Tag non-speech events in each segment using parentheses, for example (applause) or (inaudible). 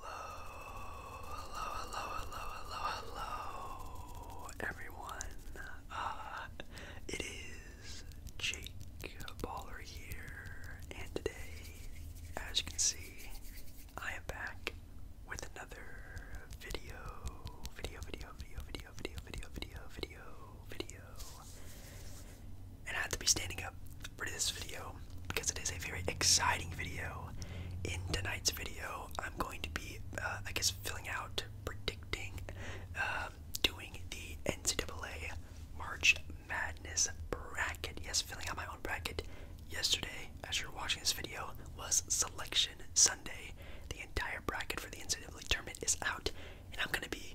Hello, hello, hello, hello, hello, hello, everyone. Uh, it is Jake Baller here, and today, as you can see, I am back with another video, video, video, video, video, video, video, video, video, video. And I have to be standing up for this video because it is a very exciting video. In tonight's video, I'm going to be, uh, I guess, filling out, predicting, um, doing the NCAA March Madness bracket. Yes, filling out my own bracket. Yesterday, as you're watching this video, was Selection Sunday. The entire bracket for the NCAA tournament is out, and I'm going to be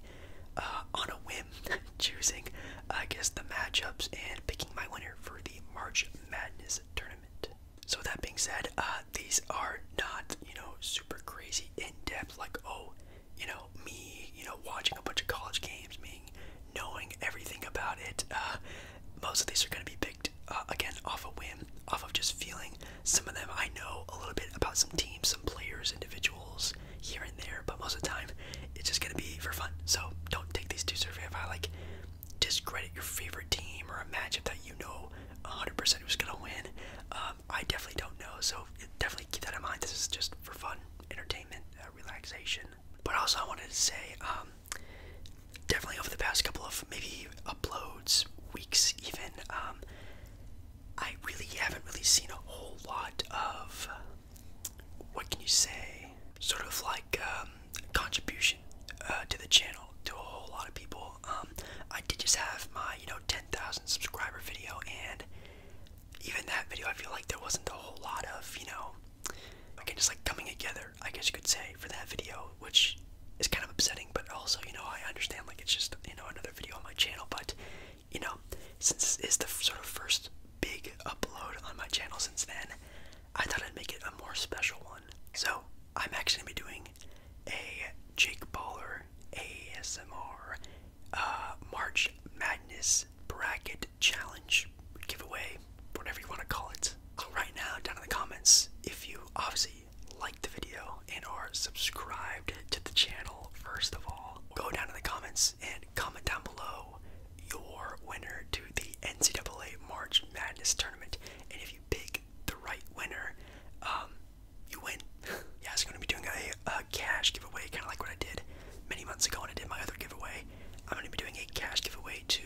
uh, on a whim (laughs) choosing, I guess, the matchups and picking my winner for March Madness tournament. So that being said, uh, these are not you know super crazy in depth like oh you know me you know watching a bunch of college games, me knowing everything about it. Uh, most of these are going to be picked uh, again off a whim, off of just feeling. Some of them I know a little bit about some teams, some players, individuals here and there, but most of the time it's just gonna be for fun. So don't take these too seriously. If I like discredit your favorite team or imagine that you know 100% who's gonna win, um, I definitely don't know. So definitely keep that in mind. This is just for fun, entertainment, uh, relaxation. But also I wanted to say, um, definitely over the past couple of maybe uploads, weeks even, um, I really haven't really seen a whole lot of what can you say? Sort of like um, contribution uh, to the channel to a whole lot of people. Um, I did just have my you know 10,000 subscriber video, and even that video, I feel like there wasn't a whole lot of you know again just like coming together. I guess you could say for that video, which is kind of upsetting, but also you know I understand like it's just you know another video on my channel, but you know since this is the sort of first big upload on my channel since then I thought I'd make it a more special one. So I'm actually gonna be doing a Jake Baller ASMR uh, March Madness Bracket Challenge giveaway, whatever you want to call it. right now, down in the comments, if you obviously liked the video and are subscribed to the channel, first of all, go down in the comments and comment down below your winner to the NCAA March Madness tournament. And if you pick the right winner, um, you win. (laughs) yeah, it's gonna be doing a, cash giveaway, kind of like what I did many months ago when I did my other giveaway. I'm gonna be doing a cash giveaway to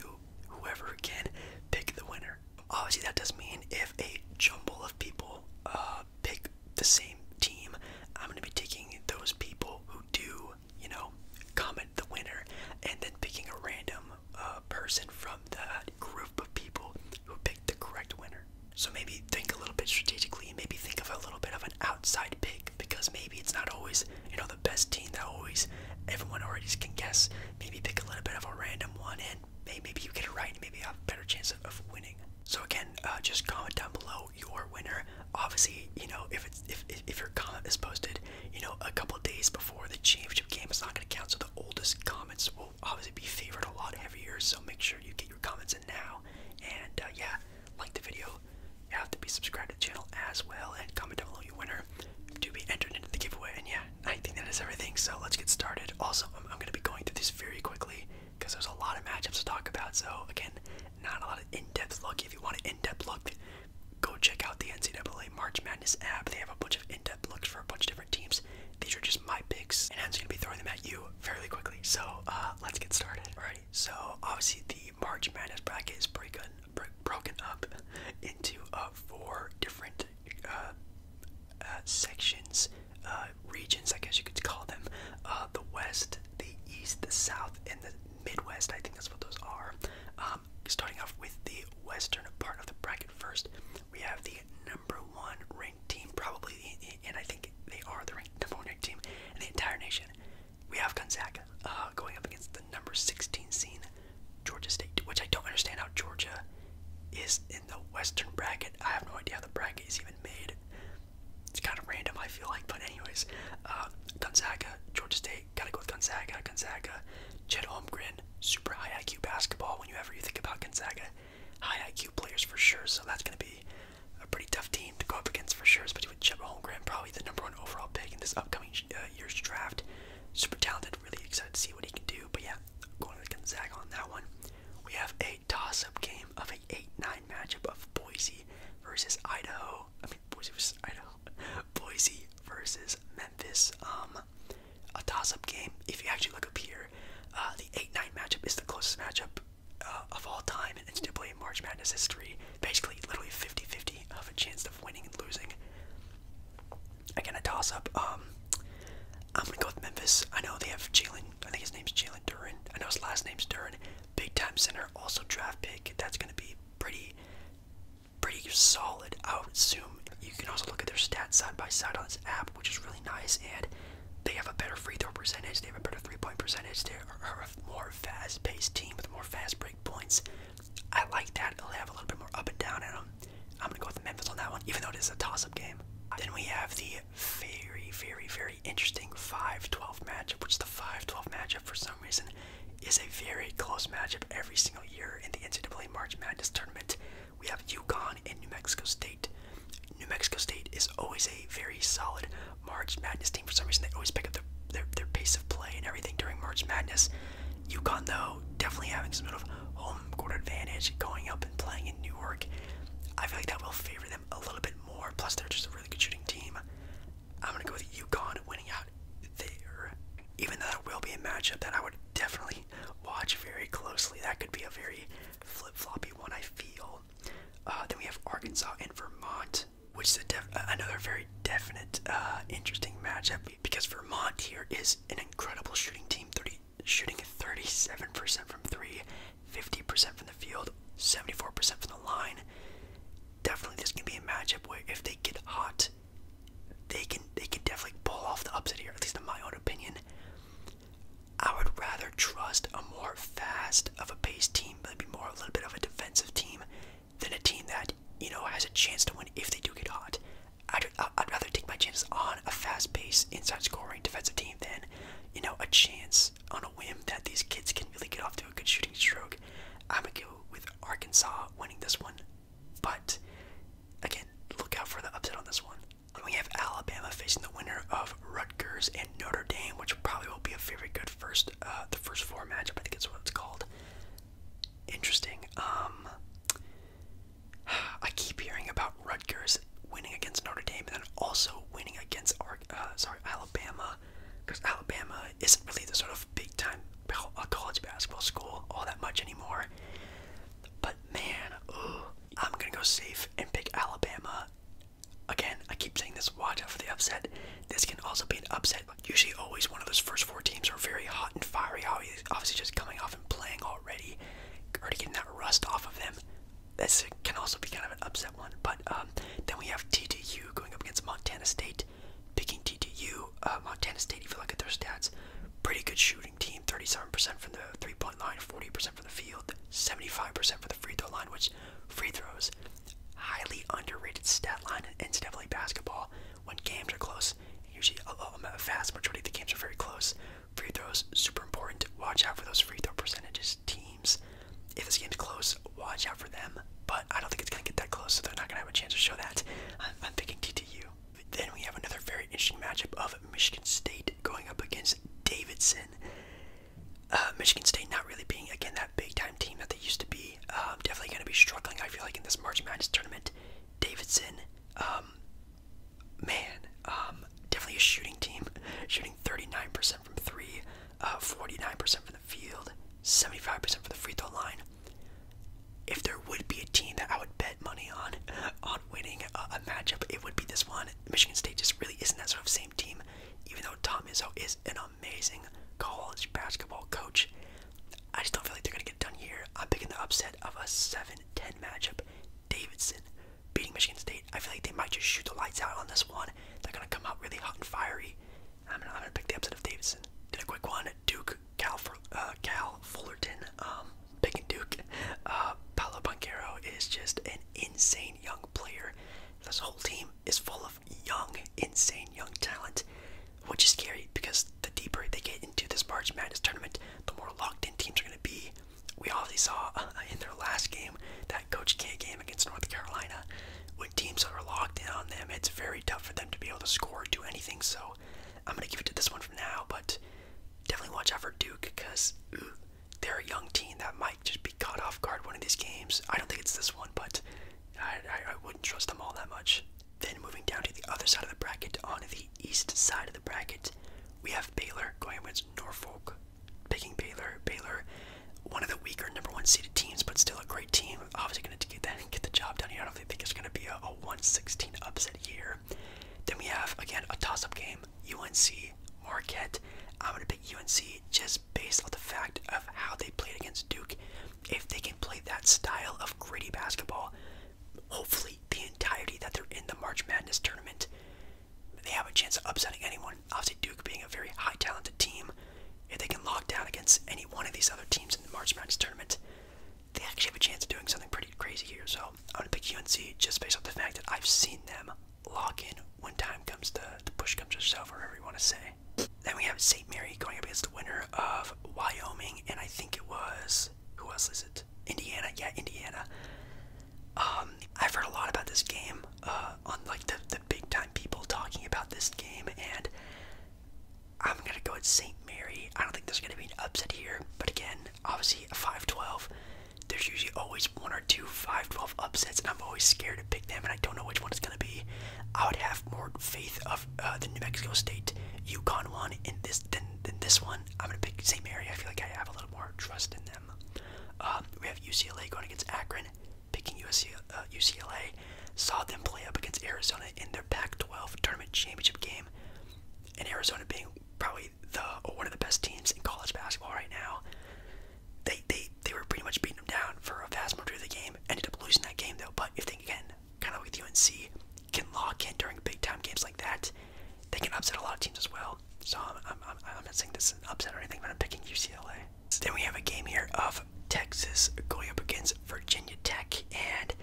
whoever can pick the winner. Obviously, that does not mean if a jumble of people uh, pick the same team, I'm gonna be taking those people who do you know, comment the winner, and then picking a random uh, person from that group of people who picked the correct winner. So maybe think a little bit strategically, maybe think of a little bit of an outside pick because maybe it's not always, you know, the best team that always everyone already can guess. Maybe pick a little bit of a random one and maybe you get it right and maybe have a better chance of, winning. So again, uh, just comment down below your winner obviously, you know, if it's if if your comment is posted, you know, a couple days before the championship game, is not gonna count. So the oldest comments will obviously be favored a lot every year. So make sure you get your comments in now. And uh, yeah, like the video. You have to be subscribed to the channel as well, and comment down below your winner to be entered into the giveaway. And yeah, I think that is everything. So let's get started. Also, I'm, I'm gonna be going through this very quickly because there's a lot of matchups to talk about. So again, not a lot of in-depth look. If you want an in-depth look, Go check out the NCAA March Madness app. They have a bunch of in-depth looks for a bunch of different teams. These are just my picks, and I'm just gonna be throwing them at you fairly quickly. So uh, let's get started. Alright, so obviously the March Madness bracket is broken, broken up into uh, four different uh, sections, regions, I guess you could call them. the West, the East, the South, and the Midwest. I think that's what those are. Um, starting off with the western part of the bracket first, we have the number one ranked team, probably, and I think they are the ranked, number one team in the entire nation. We have Gonzaga uh, going up against the number 16 seed Georgia State, which I don't understand how Georgia is in the western bracket. I have no idea how the bracket is even made. It's kind of random, I feel like, but anyways, uh, Gonzaga, Georgia State. Gotta go with Gonzaga. Gonzaga. Chet Holmgren. Super high IQ basketball. Whenever you think about Gonzaga, high IQ players for sure. So that's gonna be a pretty tough team to go up against for sure, especially with Chet Holmgren, probably the number one overall pick in this upcoming uh, year's draft. Super talented. Really excited to see what he can do. But yeah, going with Gonzaga on that one. We have a toss-up game of a 8-9 matchup of Boise versus Idaho. I mean, Boise versus Idaho. Boise versus Memphis. Um, a toss-up game. If you actually look up here, uh, the 8-9 matchup is the closest matchup uh, of all time in NCAA March Madness history. Basically, literally 50-50 of a chance of winning and losing. Again, a toss-up. Um, I'm gonna go with Memphis. I know they have Jalen. I think his name's Jalen Duran. I know his last name's Duran. Big time center, also draft pick. That's gonna be pretty pretty solid, out Zoom. You can also look at their stats side by side on this app, which is really nice. And they have a better free throw percentage, they have a better three point percentage, they are a more fast paced team with more fast break points. I like that. They have a little bit more up and down in them. I'm going to go with Memphis on that one, even though it is a toss up game. Then we have the very, very, very interesting 5 12 matchup, which is the 5 12 matchup for some some reason is a very close matchup every single year in the NCAA March Madness tournament. We have UConn and New Mexico State. New Mexico State is always a very solid March Madness team. For some reason, they always pick up their, their, pace of play and everything during March Madness. UConn, though, definitely having some sort of home court advantage going up and playing in New York. I feel like that will favor them a little bit more. Plus, they're just a really good shooting team. I'm going to go with UConn winning out. Even though that will be a matchup that I would definitely watch very closely. That could be a very flip floppy one, I feel. Uh, then we have Arkansas and Vermont, which is another very definite, uh, interesting matchup because Vermont here is an incredible shooting team, 30, shooting 37% from three, 50% from the field, 74% from the line. Definitely, this can be a matchup where if they get hot, they can they can definitely pull off the upset here, at least in my own opinion. I would rather trust a more fast of a paced team, maybe more a little bit of a defensive team, than a team that you know has a chance to win if they do get hot. I'd, I'd rather take my chances on a fast paced inside scoring defensive team than you know a chance on a whim that these kids can really get off to a good shooting stroke. I'm a to with Arkansas winning this one, but again, look out for the upset on this one. we have Alabama facing the winner of Rutgers and Notre Dame, which probably will be a very good first, uh, the first four matchup. I think it's what it's called. Interesting. Um, I keep hearing about Rutgers winning against Notre Dame and then also winning against, Ar uh, sorry, Alabama, because Alabama isn't really the sort of big time college basketball school all that much anymore. But man, I'm gonna go safe and pick Alabama. Again, I keep saying this. Watch out for the upset. This can also be an upset. Usually, always one of those first four teams are very hot and fiery. Obviously, just coming off and playing already, already getting that rust off of them. This can also be kind of an upset one. But um, then we have TDU going up against Montana State picking TTU, uh, Montana State, if you look at their stats, pretty good shooting team, 37% from the three-point line, 40% from the field, 75% for the free throw line, which free throws, highly underrated stat line in NCAA basketball when games are close. Usually a vast majority of the games are very close. Free throws, super important. Watch out for those free throw percentages. Teams, if this game's close, watch out for them, but I don't think it's going to get that close, so they're not going to have a chance to show that. I'm, I'm picking TTU. Then we have another very interesting matchup of Michigan State going up against Davidson. Uh, Michigan State not really being, again, that big time team that they used to be. Um, definitely going to be struggling, I feel like, in this March Madness tournament. Davidson, um, man, um, definitely a shooting team. (laughs) Shooting 39% from three, 49% uh, from field, 75% for the free throw line. If there would be a team that I would bet money on, on winning a, a matchup, it would be this one. Michigan State just really isn't that sort of same team, even though Tom Izzo is an amazing college basketball coach. I just don't feel like they're gonna get done here. I'm picking the upset of a 7-10 matchup. Davidson beating Michigan State. I feel like they might just shoot the lights out on this one. They're gonna come out really hot and fiery. I'm gonna, pick the upset of Davidson. Did a quick one. Duke, Cal, uh, Cal Fullerton, um, picking Duke. Palo uh, Paolo is just an insane young player. This whole team is full of young, insane young talent, which is scary because the deeper they get into this March Madness tournament, the more locked in teams are gonna be. We obviously saw uh, in their last game, that Coach K game against North Carolina, when teams are locked in on them, it's very tough for them to be able to score or do anything. So I'm going to give it to this one for now, but definitely watch out for Duke because they're a young team that might just be caught off guard one of these games. I don't think it's this one, but I, I wouldn't trust them all that much. Then moving down to the other side of the bracket, on the east side of the bracket, we have Baylor going against Norfolk. Picking Baylor. Baylor, one of the weaker number one seeded teams, but still a great team. Obviously, to get get the job done I don't think it's going to be a, a 116 upset here. Then we have again a toss-up game, UNC Marquette. I'm going to pick UNC just based on the fact of how they played against Duke. If they can play that style of gritty basketball, hopefully the entirety that they're in the March Madness tournament, they have a chance of upsetting anyone. Obviously, Duke being a very high talented team, if they can lock down against any one of these other teams in the March Madness tournament, they actually have a chance of doing something pretty crazy here. So I'm gonna pick UNC just based off the fact that I've seen them lock in when time comes to the push comes to shove, whatever you want to say. Then we have St. Mary going up against the winner of Wyoming, and I think it was who else is it? Indiana, yeah, Indiana. Um, I've heard a lot about this game, uh, on like the the big time people talking about this game, and I'm gonna go at St. Mary. I don't think there's gonna be an upset here, but again, obviously a 5-12. There's usually always one or two 5-12 upsets, and I'm always scared to pick them, and I don't know which one it's gonna be. I would have more faith of uh, the New Mexico State Yukon one in this than than this one. I'm gonna pick St. Mary. I feel like I have a little more trust in them. Um, we have UCLA going against Akron, picking UCLA saw them play up against Arizona in their Pac-12 tournament championship game. And Arizona being probably the one of the best teams in college basketball right now, they they they were pretty much beating them down for a vast majority of the game. Ended up losing that game though. But if they can kind of like the UNC can lock in during big time games like that, they can upset a lot of teams as well. So I'm, I'm, I'm, not saying this is an upset or anything, but I'm picking UCLA. then we have a game here of Texas going up against Virginia Tech, and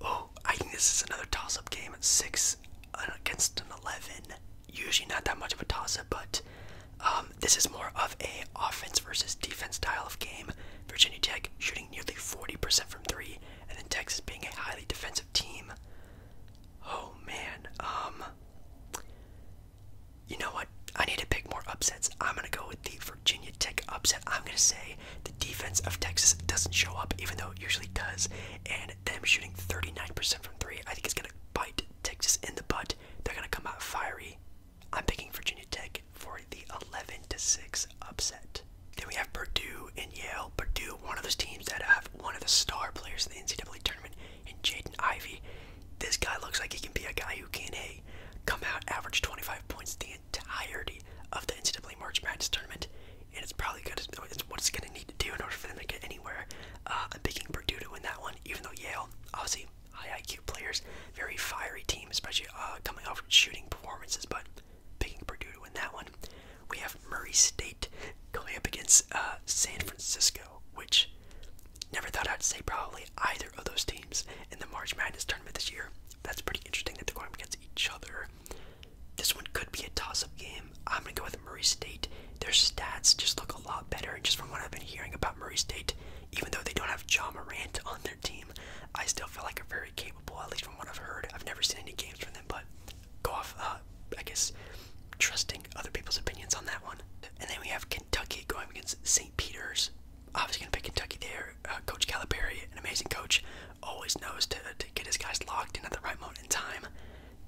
Oh, I think this is another toss-up game. at Six uh, against an eleven. Usually not that much of a toss-up, but um, this is more of a offense versus defense style of game. Virginia Tech shooting nearly 40% from three, and then Texas being a highly defensive team. Oh man, um, you know what? I need to pick more upsets. I'm gonna go with the Virginia Tech upset. I'm going to say the defense of Texas doesn't show up, even though it usually does. And them shooting 39% from three, I think it's going to bite Texas in the butt. They're going to come out fiery. I'm picking Virginia Tech for the 11 to 6 upset. Then we have Purdue and Yale. Purdue, one of those teams that have one of the star players in the NCAA tournament, and Jaden Ivy. This guy looks like he can be a guy who can, a come out, average 25 points entirety of the NCAA March Madness tournament, and it's probably good. It's what it's going to need to do in order for them to get anywhere. Uh, I'm picking Purdue to win that one, even though Yale, obviously, high IQ players, very fiery team, especially uh, coming off shooting performances, but picking Purdue to win that one. We have Murray State going up against uh, San Francisco, which never thought I'd say probably either of those teams in the March Madness tournament this year. That's pretty interesting that they're going against each other. This one could be a toss-up game. I'm gonna go with Murray State. Their stats just look a lot better, and just from what I've been hearing about Murray State. Even though they don't have John Morant on their team, I still feel like they're very capable. At least from what I've heard. I've never seen any games from them, but go off. Uh, I guess trusting other people's opinions on that one. And then we have Kentucky going against St. Peter's obviously going to pick Kentucky there. Uh, coach Calipari, an amazing coach, always knows to, to get his guys locked in at the right moment in time.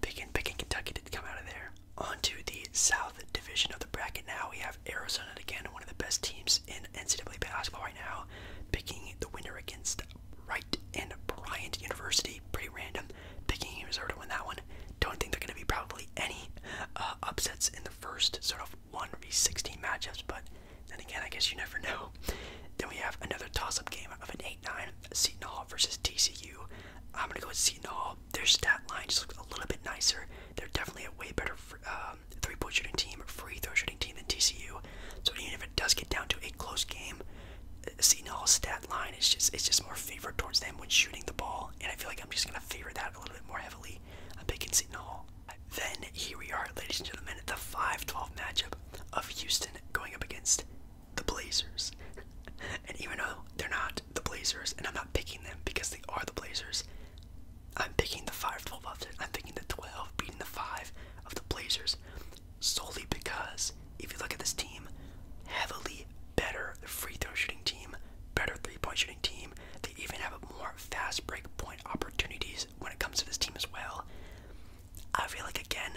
Picking, picking Kentucky to come out of there. On to the South Division of the bracket now. We have Arizona again, one of the best teams in NCAA basketball right now, picking the winner against Wright and Bryant University. Pretty random. Picking Arizona in that one. Don't think there are going to be probably any uh, upsets in the first sort of one v sixteen matchups, but then again, I guess you never know. (laughs) Then we have another toss-up game of an eight-nine Seton Hall versus TCU. I'm gonna go with Seton Hall. Their stat line just looks a little bit nicer. They're definitely a way better um, three-point shooting team, free throw shooting team than TCU. So even if it does get down to a close game, uh, Seton Hall's stat line is just it's just more favored towards them when shooting the ball, and I feel like I'm just gonna favor that a little bit more heavily. I'm picking Seton Hall. Then here we are, ladies and gentlemen, the 5-12 matchup of Houston going up against the Blazers. (laughs) and even though they're not the Blazers, and I'm not picking them because they are the Blazers, I'm picking the 5-12 upset. I'm picking the 12 beating the 5 of the Blazers solely because if you look at this team, heavily better free throw shooting team, better three point shooting team. They even have more fast break point opportunities when it comes to this team as well. I feel like again,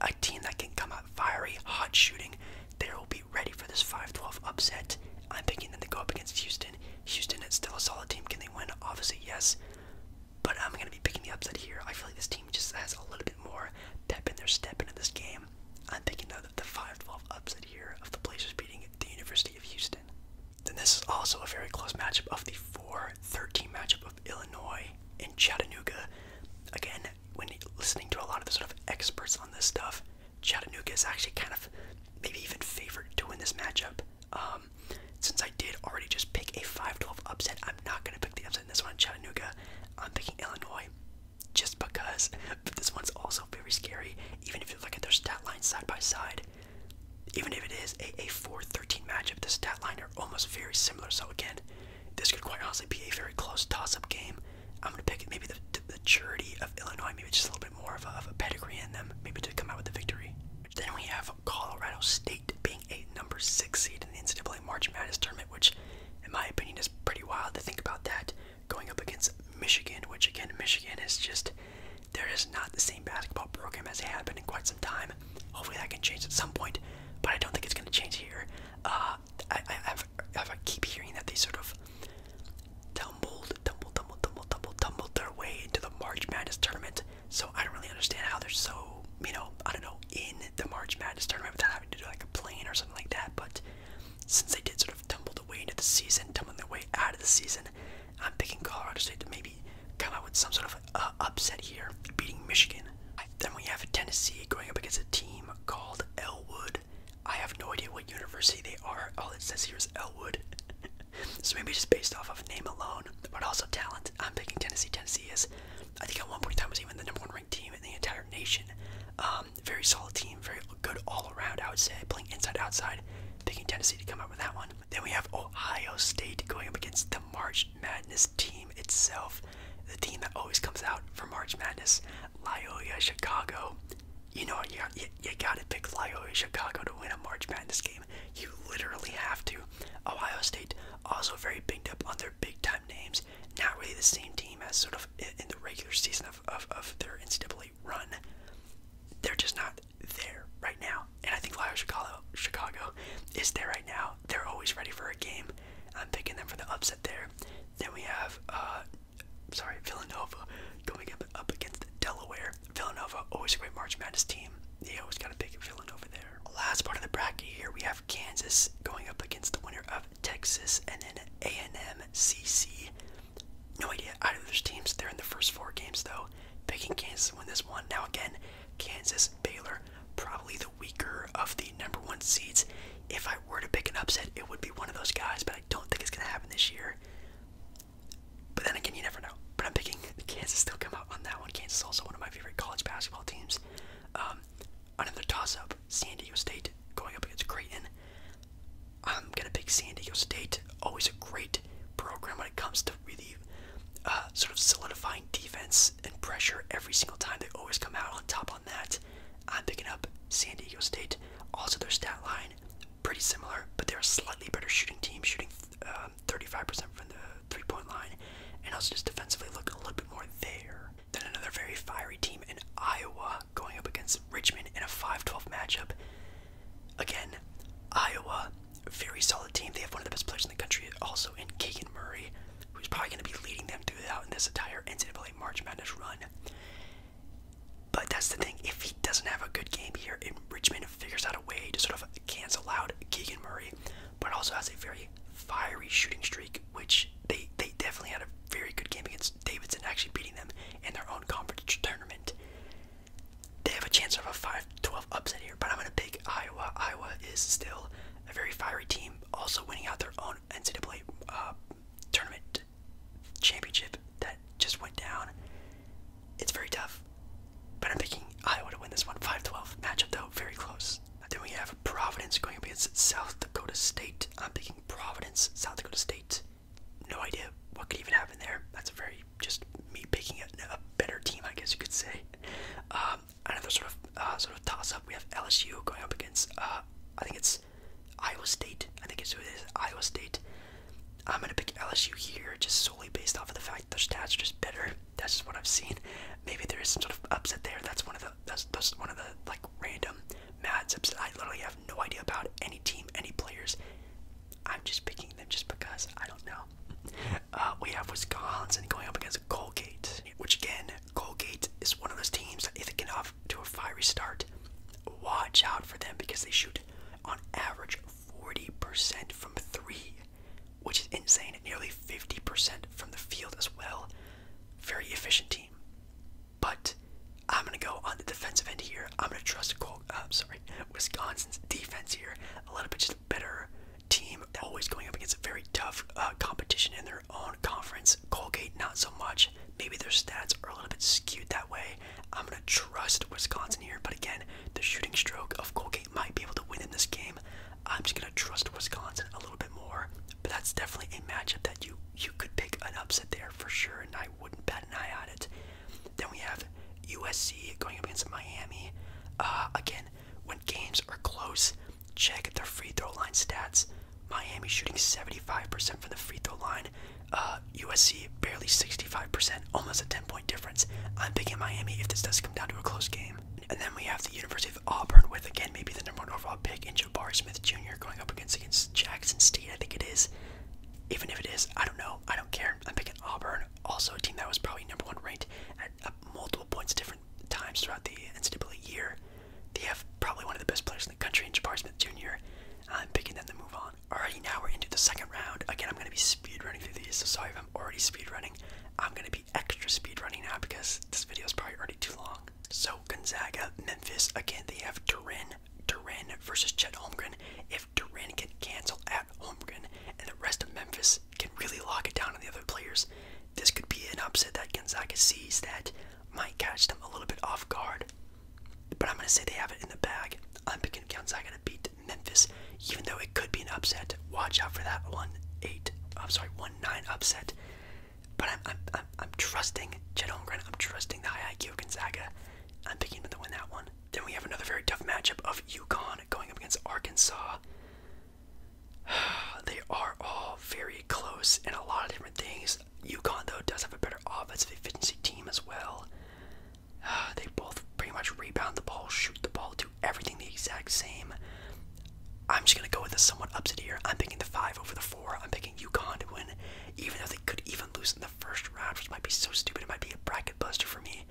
a team that can come out fiery, hot shooting, they will be ready for this 5-12 upset. I'm picking them to go up against Houston. Houston is still a solid team. Can they win? Obviously, yes. But I'm gonna be picking the upset here. I feel like this team just has a little bit more depth in their step into this game. I'm picking the 5-12 upset here of the Blazers beating the University of Houston. Then this is also a very close matchup of the 4-13 matchup of Illinois and Chattanooga. Again, when listening to a lot of the sort of experts on this stuff, Chattanooga is actually kind of maybe even favored to win this matchup. Um, since I did already just pick a 5-12 upset, I'm not going to pick the upset in this one Chattanooga. I'm picking Illinois just because this one's also very scary. Even if you look at their stat lines side by side, even if it is a, a 4 13 matchup, the stat line are almost very similar. So, again, this could quite honestly be a very close toss up game. I'm going to pick maybe the, the maturity of Illinois, maybe just a little bit more of a, pedigree in them, maybe to come out with a victory. Then we have Colorado State being a number six seed in the NCAA March Madness tournament, which, in my opinion, is pretty wild to think about that going up against Michigan, which again, Michigan is just there is not the same basketball program as they have been in quite some time. Hopefully that can change at some point, but I don't think it's going to change here. Uh, I, keep hearing that they sort of tumbled, tumbled, tumbled, tumbled, tumbled, tumbled their way into the March Madness tournament. So I don't really understand how they're so, you know, I don't know, in the March Madness tournament without having to do like a plane or something like that. But since they did sort of tumble the way into the season, tumble their way out of the season, I'm picking Colorado State to maybe come out with some sort of uh, upset here, beating Michigan. Then we have Tennessee going up against a team called Elwood. I have no idea what university they are. All it says here is Elwood. (laughs) so maybe just based off of name alone, but also talent. I'm picking Tennessee. Tennessee is, I think at one point time was even the number one ranked team in the entire nation. Um, very solid team, very good all around. I would say playing inside outside. Picking Tennessee to come out with that one. Then we have Ohio State going up against the March Madness team itself. The team that always comes out for March Madness, Loyola Chicago. You know, you, you, gotta pick Loyola Chicago to win a March Madness game. You literally have to. Ohio State also very banged up on their big time names. Not really the same team as sort of in, in the regular season of, of, of their NCAA run. They're just not there right now. And I think Live Chicago Chicago is there right now. They're always ready for a game. I'm picking them for the upset there. Then we have uh sorry, Villanova going up, up against Delaware. Villanova, always a great March Madness team. They always gotta pick Villanova there. Last part of the bracket here we have Kansas going up against the winner of Texas and then A and M C C. No idea either of those teams. there in the first four games though picking Kansas to win this one. Now again, Kansas, Baylor, probably the weaker of the number one seeds. If I were to pick an upset, it would be one of those guys, but I don't think it's gonna happen this year. But then again, you never know. But I'm picking (laughs) Kansas still come out on that one. Kansas is also one of my favorite college basketball teams. Um, another toss-up, San Diego State going up against Creighton. I'm gonna pick San Diego State. Always a great program it comes to really uh, sort of solidifying defense and pressure every single time. They always come out on top on that. I'm picking up San Diego State. Also, their stat line pretty similar, but they're a slightly better shooting team, shooting 35% um, from the three-point line, and also just defensively look a little bit more there. Then another very fiery team in Iowa going up against Richmond in a 5-12 matchup. Again, Iowa, very solid team. They have one of the best players in the country, also in Keegan Murray, who's probably going to be leading them through throughout this entire NCAA March Madness run. But that's the thing. If he doesn't have a good game here, and Richmond figures out a way to sort of cancel out Keegan Murray, but also has a very fiery shooting streak, which they they definitely had a very good game against Davidson, actually beating them in their own conference tournament. They have a chance of a 5-12 upset here, but I'm going to pick Iowa. Iowa is still a very fiery team, also winning out their own NCAA uh, tournament championship that just went down. It's very tough, but I'm picking Iowa to win this one. 5-12 matchup, though, very close. Then we have Providence going up against South Dakota State. I'm picking Providence, South Dakota State. No idea what could even happen there. That's a very just me picking a, better team, I guess you could say. Um, another sort of uh, sort of toss up. We have LSU going up against uh, I think it's Iowa State. I think it's who it is. Iowa State. I'm gonna pick LSU here, just solely based off of the fact their stats are just better. That's just what I've seen. Maybe there is some sort of upset there. That's one of the that's, that's one of the like random matchups that I literally have no idea about any team, any players, I'm just picking them just because I don't know. Uh, we have Wisconsin going up against Colgate, which again, Colgate is one of those teams that if they can off to a fiery start, watch out for them because they shoot on average 40% from three, which is insane. Nearly 50% from the field as well. Very efficient team. But I'm gonna go on the defensive end here. I'm gonna trust Col uh, sorry, Wisconsin's defense here a little bit. Just better team, always going up against a very tough uh, competition in their own conference. Colgate, not so much. Maybe their stats are a little bit skewed that way. I'm going to trust Wisconsin here, but again, the shooting stroke of Colgate might be able to win in this game. I'm just going to trust Wisconsin a little bit more. But that's definitely a matchup that you you could pick an upset there for sure, and I wouldn't bet an eye on it. Then we have USC going up against Miami. Uh, again, when games are close, check their free throw line stats. Miami shooting 75% from the free throw line. USC uh, barely 65%, almost a 10 point difference. I'm picking Miami if this does come down to a close game. And then we have the University of Auburn with, again, maybe the number one overall pick in Jabari Smith Jr. going up against, against Jackson State, I think it is. Even if it is, I don't know. I don't care. I'm picking Auburn also a team that was probably number one ranked at multiple points different times throughout the NCAA year. They have probably one of the best players in the country in Jabari Smith Jr. Uh, I'm picking them to move on. Already now we're into the second round. Again, I'm going to be speed running through these, so sorry if I'm already speed running. I'm going to be extra speed running now because this video is probably already too long. So Gonzaga, Memphis, again, they have Turin. Duran versus Chet Holmgren. If if Durant can cancel at Holmgren and the rest of Memphis can really lock it down on the other players, this could be an upset that Gonzaga sees that might catch them a little bit off guard. But I'm going to say they have it in the bag. I'm picking Gonzaga to beat Memphis, even though it could be an upset. Watch out for that 1 8, I'm sorry, 1 9 upset. But I'm, I'm, I'm, trusting Chet Holmgren. I'm trusting the high IQ of Gonzaga. I'm picking them to win that one. Then we have another very tough matchup of Yukon going up against Arkansas. (sighs) they are all very close in a lot of different things. UConn, though, does have a better offensive efficiency team as well. (sighs) they both pretty much rebound the ball, shoot the ball, do everything the exact same. I'm just going to go with a somewhat upset here. I'm picking the 5 over the 4. I'm picking UConn to win, even though they could even lose in the first round, which might be so stupid. It might be a bracket buster for me.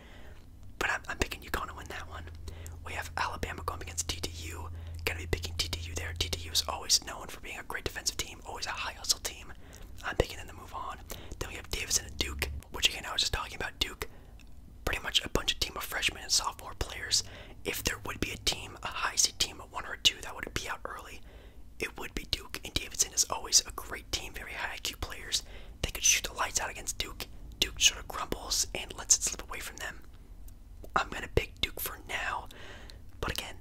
But I'm, picking UConn to win that one. We have Alabama going against TTU. Gonna be picking TDU there. TDU is always known for being a great defensive team, always a high hustle team. I'm picking them to move on. Then we have Davidson and Duke, which again I was just talking about Duke. Pretty much a bunch of team of freshmen and sophomore players. If there would be a team, a high seed team, of one or two that would be out early, it would be Duke. And Davidson is always a great team, very high IQ players. They could shoot the lights out against Duke. Duke sort of crumbles and lets it slip away from them. I'm gonna pick Duke for now, but again,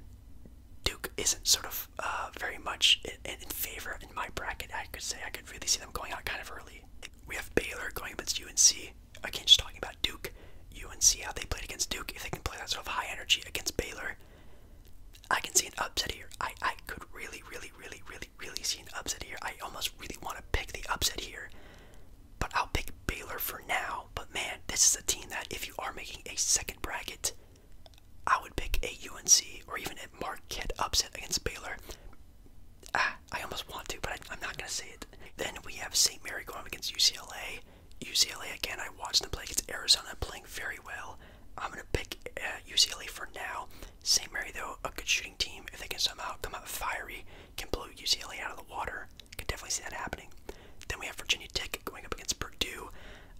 Duke isn't sort of uh, very much in, in favor in my bracket. I could say I could really see them going out kind of early. We have Baylor going against UNC. Again, just talking about Duke, UNC, how they played against Duke. If they can play that sort of high energy against Baylor, I can see an upset here. I I could really, really, really, really really, see an upset here. I almost really want to pick the upset here, but I'll pick Baylor for now. But man, this is a team that if you are making a second bracket, I would pick a UNC or even a Marquette upset against Baylor. Ah, I almost want to, but I, am not going to say it. Then we have St. Mary going against UCLA. UCLA again. I watched them play against Arizona, playing very well. I'm gonna pick UCLA uh, for now. St. Mary, though, a good shooting team. If they can somehow come out fiery, can blow UCLA out of the water. Could definitely see that happening. Then we have Virginia Tech going up against Purdue.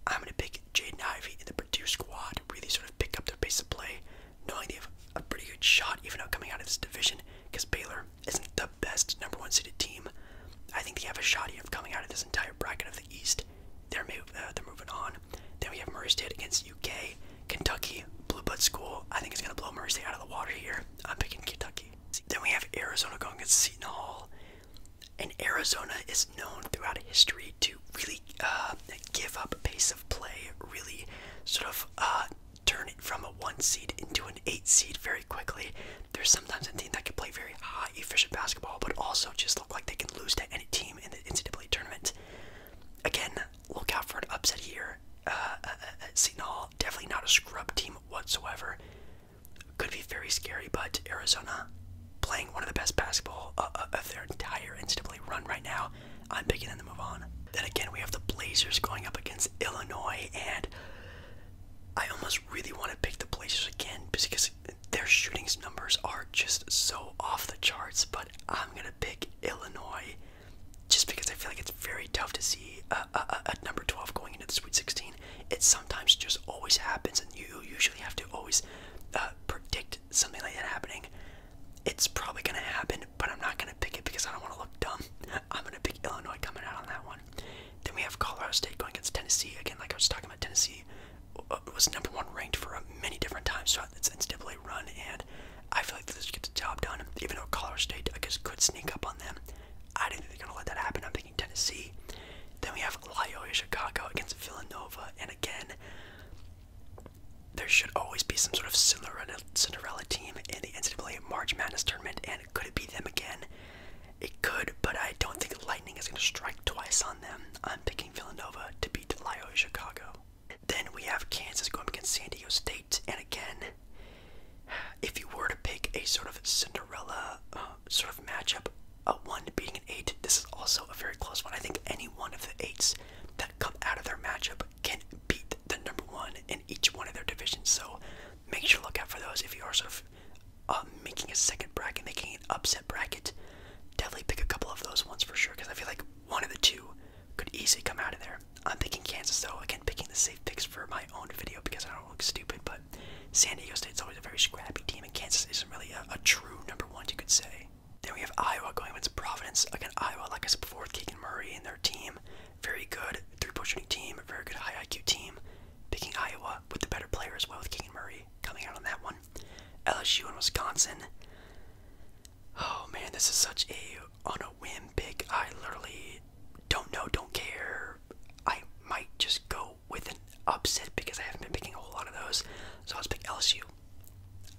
I'm going to pick Jaden Ivy in the Purdue squad. Really sort of pick up their pace of play, knowing they have a pretty good shot even though coming out of this division because Baylor isn't the best number one seeded team. I think they have a shot of coming out of this entire bracket of the East. they're uh, moving on. Then we have Murray State against UK. Kentucky, Blue Blood School. I think it's going to blow Murray State out of the water here. I'm picking Kentucky. Then we have Arizona going against Seton Hall. And Arizona is known throughout history to really uh, give up pace of play, really sort of uh, turn it from a one seed into an eight seed very quickly. There's sometimes a team that can play very high, efficient basketball, but also just look like they can lose to any team in the NCAA tournament. Again, look out for an upset here. Uh, uh, Hall, uh, uh, definitely not a scrub team whatsoever. Could be very scary, but Arizona playing one of the best basketball uh, of their entire NCAA run right now. I'm picking them to move on. Then again, we have the Blazers going up against Illinois, and I almost really want to pick the Blazers again because their shooting's numbers are just so off the charts. But I'm gonna pick Illinois just because I feel like it's very tough to see a, number 12 going into the Sweet 16. It sometimes just always happens, and you usually have to always uh, predict something like that happening. It's probably going to happen, but I'm not going to pick it because I don't want to look dumb. (laughs) I'm going to pick Illinois coming out on that one. Then we have Colorado State going against Tennessee. Again, like I was talking about, Tennessee uh, was number one ranked for many different times, so shot that's instantly run, and I feel like this gets the job done. Even though Colorado State, I guess, could sneak up on them, I do not think they're gonna let that happen. I'm thinking Tennessee. Then we have Loyola Chicago against Villanova, and again, there should always be some sort of Cinderella, Cinderella team in the NCAA March Madness tournament, and could it be them again? It could, but I don't think lightning is going to strike twice on them. I'm picking Villanova to beat Loyola Chicago. Then we have Kansas going against San Diego State, and again, if you were to pick a sort of Cinderella uh, sort of matchup, a one beating an eight, this is also a very close one. I think any one of the eights that come out of their matchup can beat the number one in each one of their divisions. So make sure to look out for those if you are sort of uh, making a second bracket, making an upset bracket. Definitely pick a couple of those ones for sure because I feel like one of the two could easily come out of there. I'm picking Kansas though. Again, picking the safe picks for my own video because I don't look stupid. But San Diego State's always a very scrappy team, and Kansas isn't really a, true number one, you could say. Then we have Iowa going against Providence. Again, Iowa, like I said before, with Keegan Murray and their team, very good three-point shooting team, a very good high IQ team. Picking Iowa with the better player as well, with Keegan Murray coming out on that one. LSU and Wisconsin. Oh man, this is such a on a whim pick. I literally don't know, don't care. I might just go with an upset because I haven't been picking a whole lot of those. So let's pick LSU.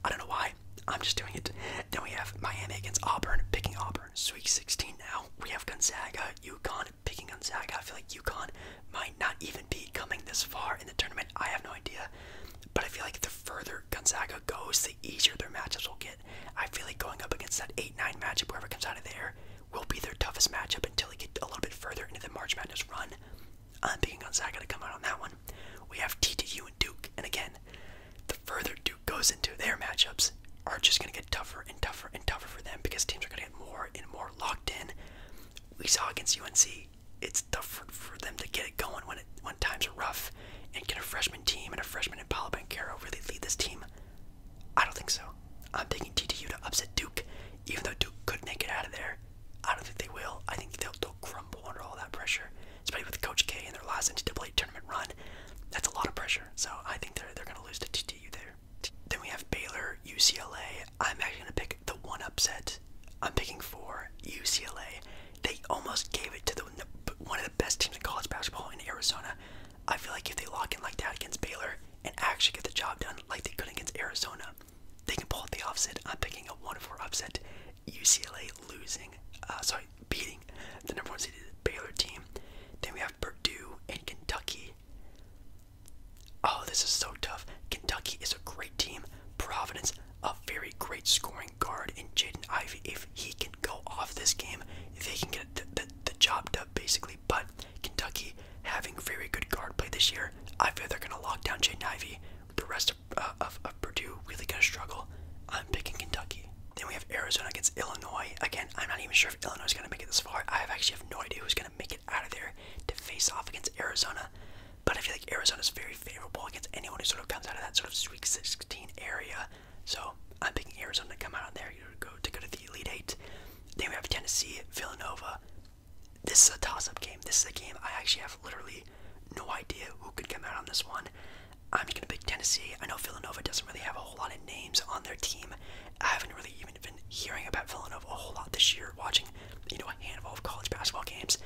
I don't know why. I'm just doing it. Then we have Miami against Auburn, picking Auburn. Sweet 16 now. We have Gonzaga, UConn, picking Gonzaga. I feel like UConn might not even be coming this far in the tournament. I have no idea. But I feel like the further Gonzaga goes, the easier their matchups will get. I feel like going up against that 8 9 matchup, whoever comes out of there, will be their toughest matchup until they get a little bit further into the March Madness run. I'm picking Gonzaga to come out on that one. We have TTU and Duke, and again, the further Duke goes into their matchups, are just going to get tougher and tougher and tougher for them because teams are going to get more and more locked in. We saw against UNC, it's tough for, for them to get it going when it when times are rough. And can a freshman team and a freshman in Paolo Bancaro really lead this team? I don't think so. I'm taking TTU to upset Duke, even though Duke could make it out of there. I don't think they will. I think they'll, they'll crumble under all that pressure, especially with Coach K and their last NCAA tournament run. That's a lot of pressure, so I think they're, they're going to lose to TTU there. Then we have Baylor, UCLA. I'm actually going to pick the one upset. I'm picking for UCLA. They almost gave it to the one of the best teams in college basketball in Arizona. I feel like if they lock in like that against Baylor and actually get the job done like they could against Arizona, they can pull out the upset. I'm picking a 1-4 upset. UCLA losing, uh, sorry, beating the number one seeded Baylor team. Then we have Purdue and Kentucky. Oh, this is so tough. Kentucky is a great team. Providence, a very great scoring guard in Jaden Ivey. If he can go off this game, if they can get the, the, job done basically. But Kentucky having very good guard play this year, I feel they're going to lock down Jaden Ivey. The rest of, uh, of, of Purdue really going to struggle. I'm picking Kentucky. Then we have Arizona against Illinois. Again, I'm not even sure if Illinois is going to make it this far. I actually have no idea who's going to make it out of there to face off against Arizona. But I feel like Arizona is very favorable against anyone who sort of comes out of that sort of Week 16 area. So I'm picking Arizona to come out on there to go to go to the Elite Eight. Then we have Tennessee, Villanova. This is a toss-up game. This is a game I actually have literally no idea who could come out on this one. I'm just gonna pick Tennessee. I know Villanova doesn't really have a whole lot of names on their team. I haven't really even been hearing about Villanova a whole lot this year, watching you know a handful of college basketball games.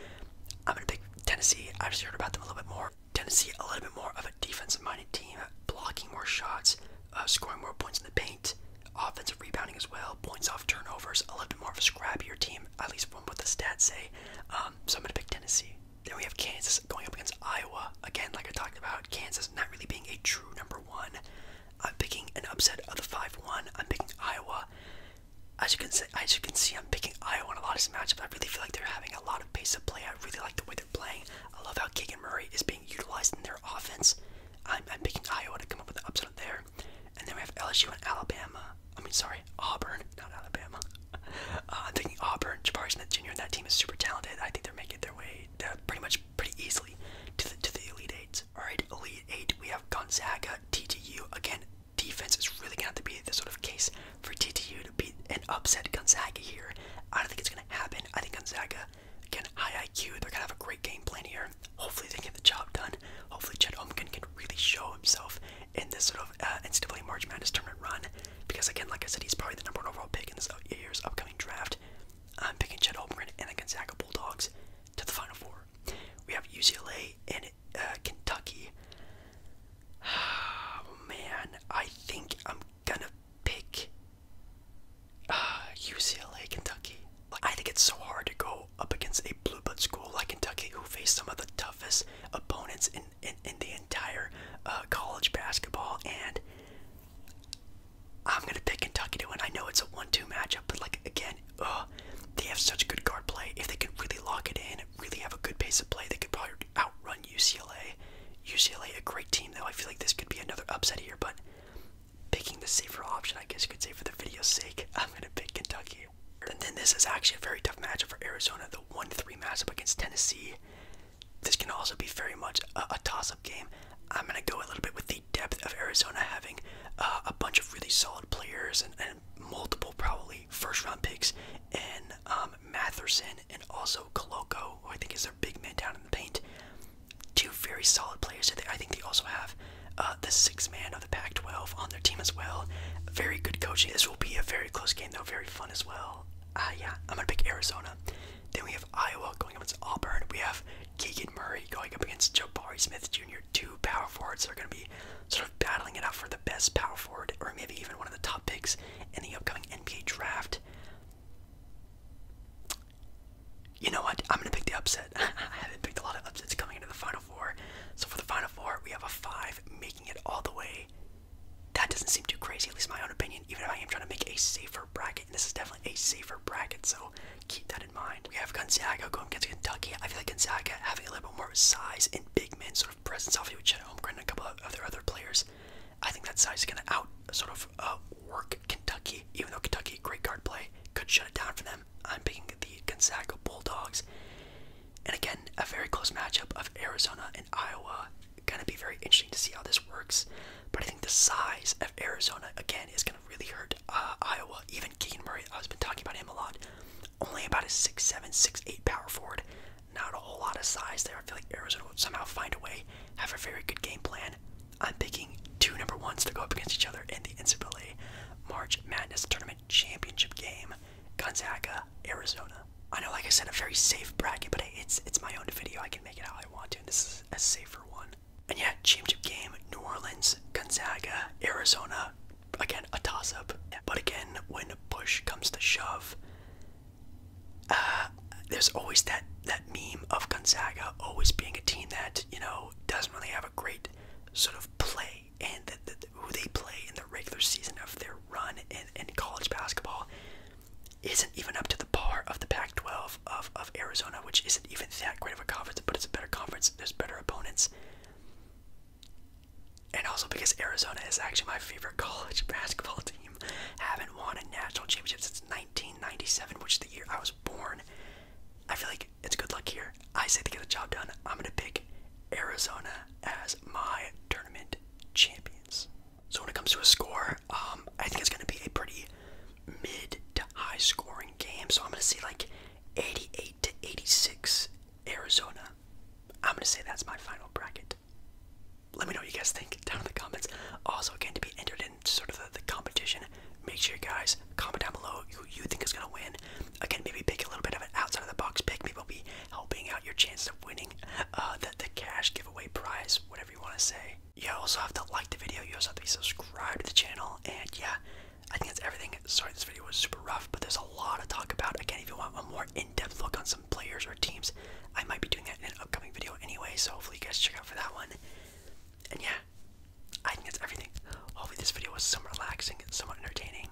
I'm gonna pick Tennessee. I've just heard about them a little bit more. Tennessee a little bit more of a defensive-minded team, blocking more shots, uh, scoring more points in the paint, offensive rebounding as well, points off turnovers, a little bit more of a scrappier team, at least from what the stats say. Um, so I'm gonna pick Tennessee. Then we have Kansas going up against Iowa. Again, like I talked about, Kansas not really being a true number one. I'm picking an upset of the 5-1. I'm picking Iowa as you can see, as you can see, I'm picking Iowa in a lot of these matchups. I really feel like they're having a lot of pace of play. I really like the way they're playing. I love how Keegan Murray is being utilized in their offense. I'm, I'm picking Iowa to come up with an upset there, and then we have LSU and Alabama. I mean, sorry, Auburn, not Alabama. (laughs) Uh, I'm thinking Auburn. Jabari Smith Jr. and that team is super talented. I think they're making their way they're pretty much pretty easily to the to the Elite Eight. All right, Elite Eight. We have Gonzaga, TTU again defense is really gonna have to be the sort of case for TTU to beat an upset Gonzaga here. I don't think it's gonna happen. I think Gonzaga, again, high IQ, they're gonna have a great game plan here. Hopefully they get the job done. Hopefully Chet Holmgren can really show himself in this sort of uh, NCAA March Madness tournament run. Because again, like I said, he's probably the number one overall pick in this uh, year's upcoming draft. I'm picking Chet Holmgren and the Gonzaga Bulldogs to the Final Four. We have UCLA and uh, Kentucky. (sighs) Oh man, I think I'm gonna pick UCLA, uh, Kentucky. Like, I think it's so hard to go up against a blue blood school like Kentucky, who faced some of the toughest opponents in in, in the entire uh, college basketball, and I'm gonna pick Kentucky to win. I know it's a one-two matchup, but like again, they have such good guard play. If they can really lock it in, really have a good pace of play, they could probably outrun UCLA. UCLA, a great team though. I feel like this could be another upset here, but picking the safer option, I guess you could say for the video's sake, (laughs) I'm gonna pick Kentucky. And then this is actually a very tough matchup for Arizona. The one-three matchup against Tennessee. This can also be very much a, toss-up game. I'm gonna go a little bit with the depth of Arizona having uh, a bunch of really solid players and multiple probably first-round picks and um, Matherson, and also Koloko, I think is their big man down in the paint. Two very solid players. I think they also have uh, the six man of the Pac-12 on their team as well. Very good coaching. This will be a very close game, though. Very fun as well. Uh, yeah, I'm gonna pick Arizona. Then we have Iowa going up against Auburn. We have Keegan Murray going up against Joe Jabari Smith Jr. Two power forwards that are gonna be sort of battling it out for the best power forward or maybe even one of the top picks in the upcoming NBA draft. You know what? I'm gonna pick the upset. (laughs) I haven't picked a lot of upsets coming into the final four. So for the final four, we have a five making it all the way. That doesn't seem too crazy, at least my own opinion, even if I am trying to make a safer bracket. this is definitely a safer bracket, so keep that in mind. We have Gonzaga going against Kentucky. I feel like Gonzaga having a little bit more size and big men, presence off of each a couple of other other players. I think that size is going to out sort of uh, work Kentucky, even though Kentucky great guard play could shut it down for them. I'm picking the Gonzaga Bulldogs, and again a very close matchup of Arizona and Iowa. Going to be very interesting to see how this works, but I think the size of Arizona again is going to really hurt uh, Iowa. Even Keegan Murray, I've been talking about him a lot. Only about a 6'7", 6'8", power forward. Not a whole lot of size there. I feel like Arizona would somehow find a way, have a very good game plan. I'm picking two number ones to go up against each other in the NCAA March Madness Tournament Championship game. Gonzaga, Arizona. I know, like I said, a very safe bracket, but it's it's my own video. I can make it how I want to. And this is a safer one. And yeah, championship game, New Orleans, Gonzaga, Arizona. Again, a toss-up. But again, when push comes to shove, uh, there's always that that meme of Gonzaga always being a team that you know doesn't really have a great sort of play and who they play in the regular season of their run in, college basketball isn't even up to the bar of the Pac-12 of, of Arizona, which isn't even that great of a conference, but it's a better conference. There's better opponents. And also because Arizona is actually my favorite (laughs) college basketball team. Haven't won a national championship since 1997, which is the year I was born. I feel like it's good luck here. I say to get the job done, I'm gonna pick Arizona as my tournament champions. So when it comes to a score, um, I think it's gonna be a pretty mid to high scoring game. So I'm gonna see like 88 to 86 Arizona. I'm gonna say that's my final bracket let me know what you guys think down in the comments. Also, again, to be entered in sort of the, competition, make sure you guys comment down below who you think is going to win. Again, maybe pick a little bit of an outside of the box pick. Maybe we'll be helping out your chances of winning uh, the, the cash giveaway prize, whatever you want to say. You also have to like the video. You also have to be subscribed to the channel. And yeah, I think that's everything. Sorry this video was super rough, but there's a lot to talk about. Again, if you want a more in-depth look on some players or teams. I might be doing that in an upcoming video anyway, so hopefully you guys check out for that one. And yeah, I think that's everything. Hopefully this video was somewhat relaxing, somewhat entertaining,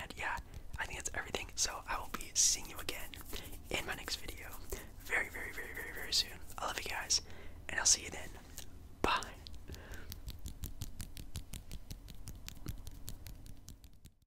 and yeah, I think that's everything. So I will be seeing you again in my next video very, very, very, very, very soon. I love you guys, and I'll see you then. Bye.